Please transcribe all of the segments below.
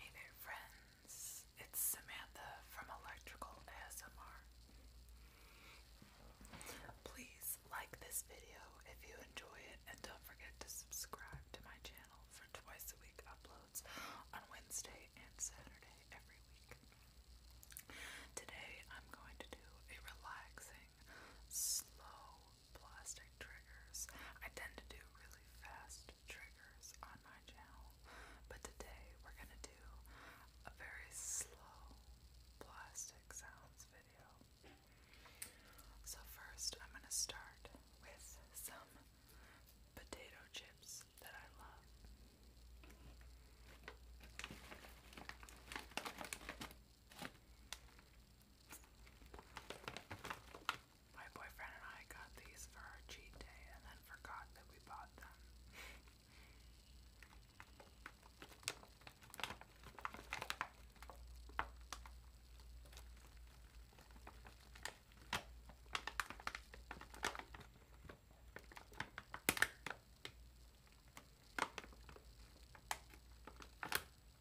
Hey there, friends. It's Samantha from Electrical ASMR. Please like this video if you enjoy it, and don't forget to subscribe to my channel for twice a week uploads on Wednesday and Saturday every week. Today, I'm going to do a relaxing, slow plastic triggers. I tend to do really fast triggers on my channel, but today we're gonna do a very slow plastic sounds video. So, first, I'm gonna start with some potato chips that I love. My boyfriend and I got these for our cheat day and then forgot that we bought them.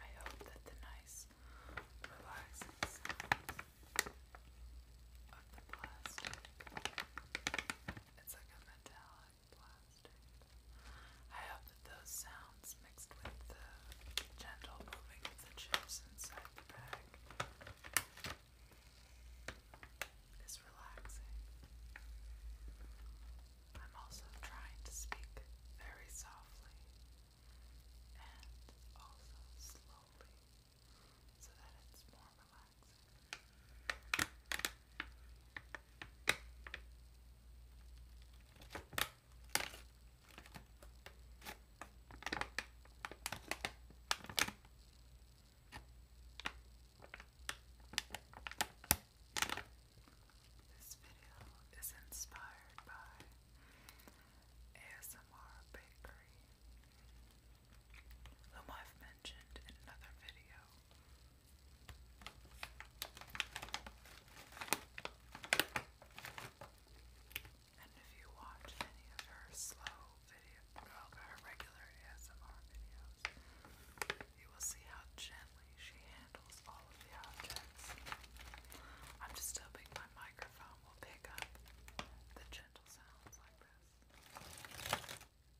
I hope that the nice, relaxing sounds of the plastic it's like a metallic plastic. I hope those sounds mixed with the gentle moving of the chips inside the bag is relaxing. I'm also trying to speak very softly and also slowly so that it's more this video is inspired by ASMR Bakery whom I've mentioned in another video. And if you watch any of her slow video, well, her regular ASMR videos, you will see how gently she handles all of the objects. I'm just hoping my microphone will pick up the gentle sounds like this.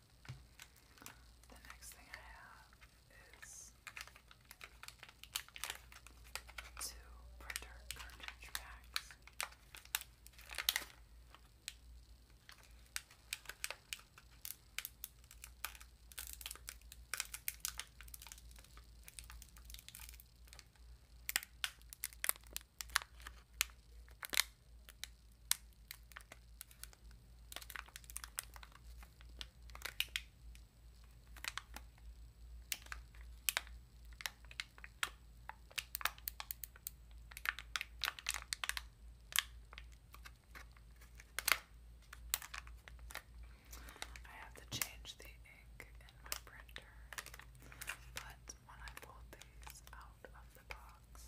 The next thing I have is two printer cartridge packs. I have to change the ink in my printer, but when I pull these out of the box,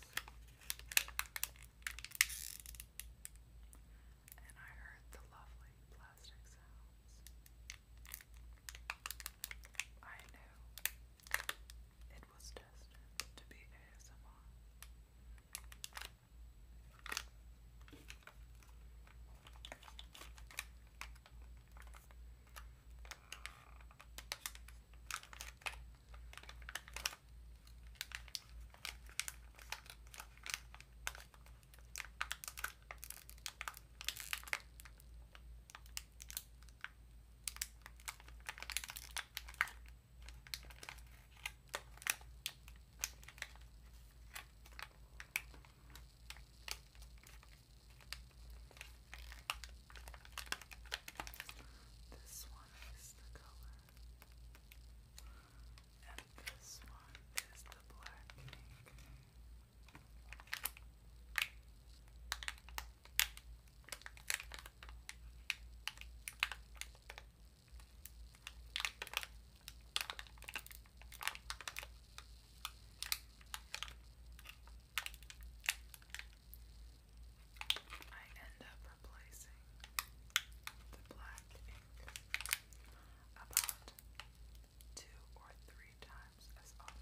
and I heard the lovely plastic sounds. I knew it was destined to be ASMR. This one is the color and this one is the black ink. I end up replacing the black ink about two or three times as often.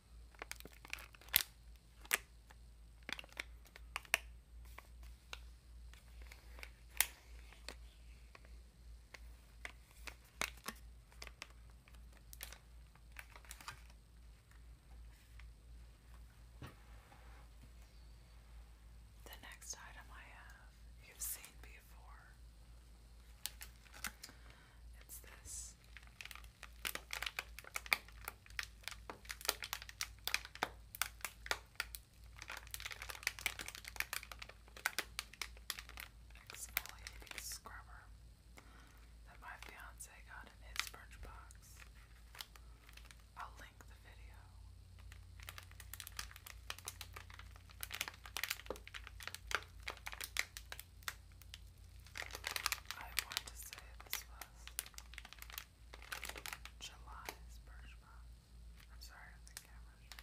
The next item I have you've seen before. It's this Exfoliating scrubber that my fiance got in his birch box. I'll link the video. I want to say this was July's Birch I'm sorry the camera's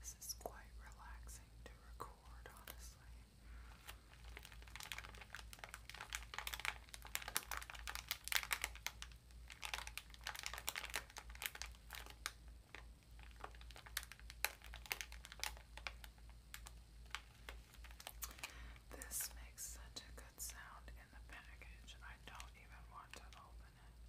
This is quite relaxing to record, honestly. This makes such a good sound in the package, I don't even want to open it.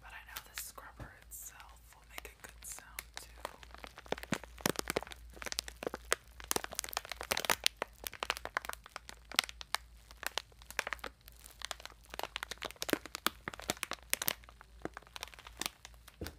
But I know the scrubber itself will make a good sound too. Okay.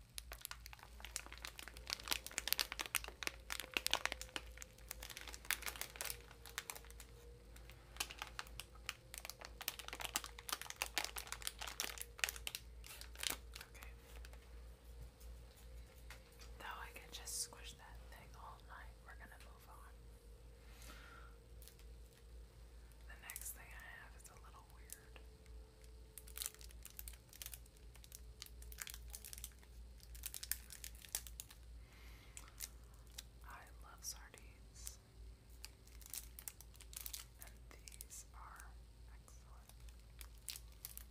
Okay. Though I could just squish that thing all night, we're gonna move on. The next thing I have is a little weird. I love sardines, and these are excellent. I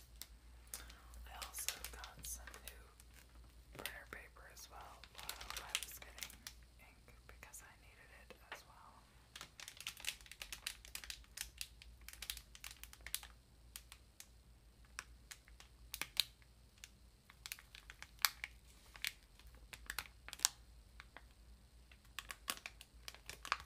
I also got some new printer paper as well while I was getting ink because I needed it as well.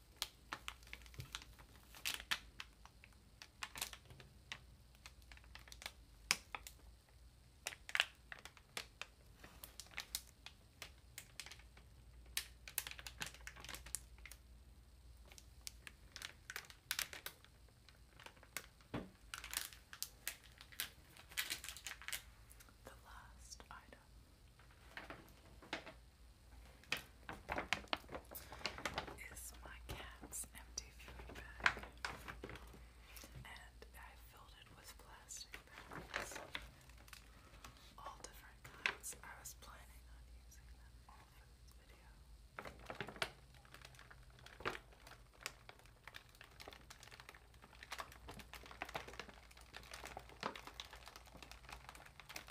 The last item is my cat's empty food bag. And I filled it with plastic bags. All different kinds. I was planning on using them all for this video.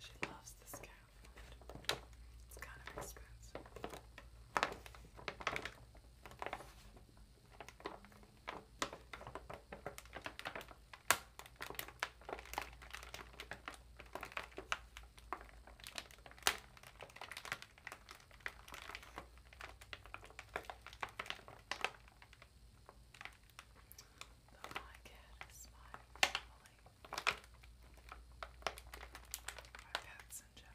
She loves this cat It's kind of expensive. But my cat is my family. My pets in general.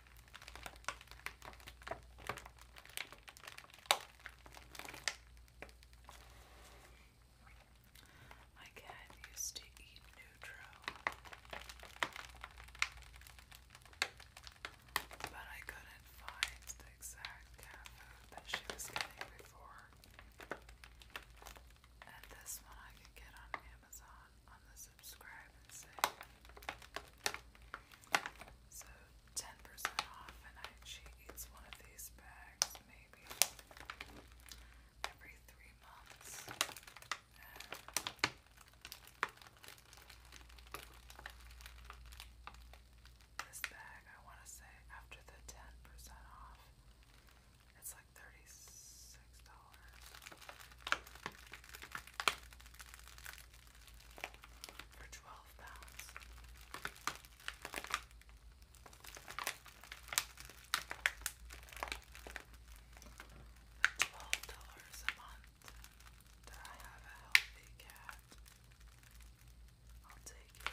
My cat used to eat Neutro, but I couldn't find the exact cat food that she was getting before. And this one I could get on Amazon on the subscribe so 10% off and I she eats one of these bags maybe every three months this bag I want to say after the 10% off it's like $36 for twelve pounds. Twelve dollars a month that I have a healthy cat. I'll take it.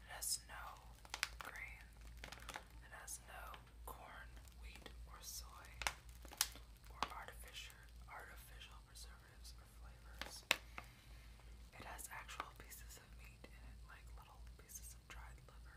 It has no grain. It has no corn, wheat, or soy, or artificial artificial preservatives or flavors. It has actual pieces of meat in it, like little pieces of dried liver.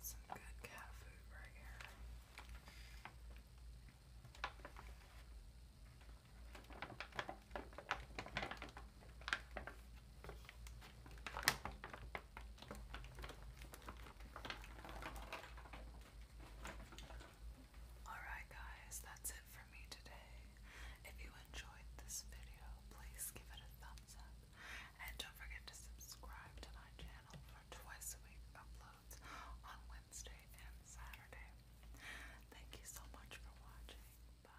Some good cat food right here. Alright, guys, that's it for me today. If you enjoyed this video, please give it a thumbs up. And don't forget to subscribe to my channel for twice week uploads on Wednesday and Saturday. Thank you so much for watching. Bye.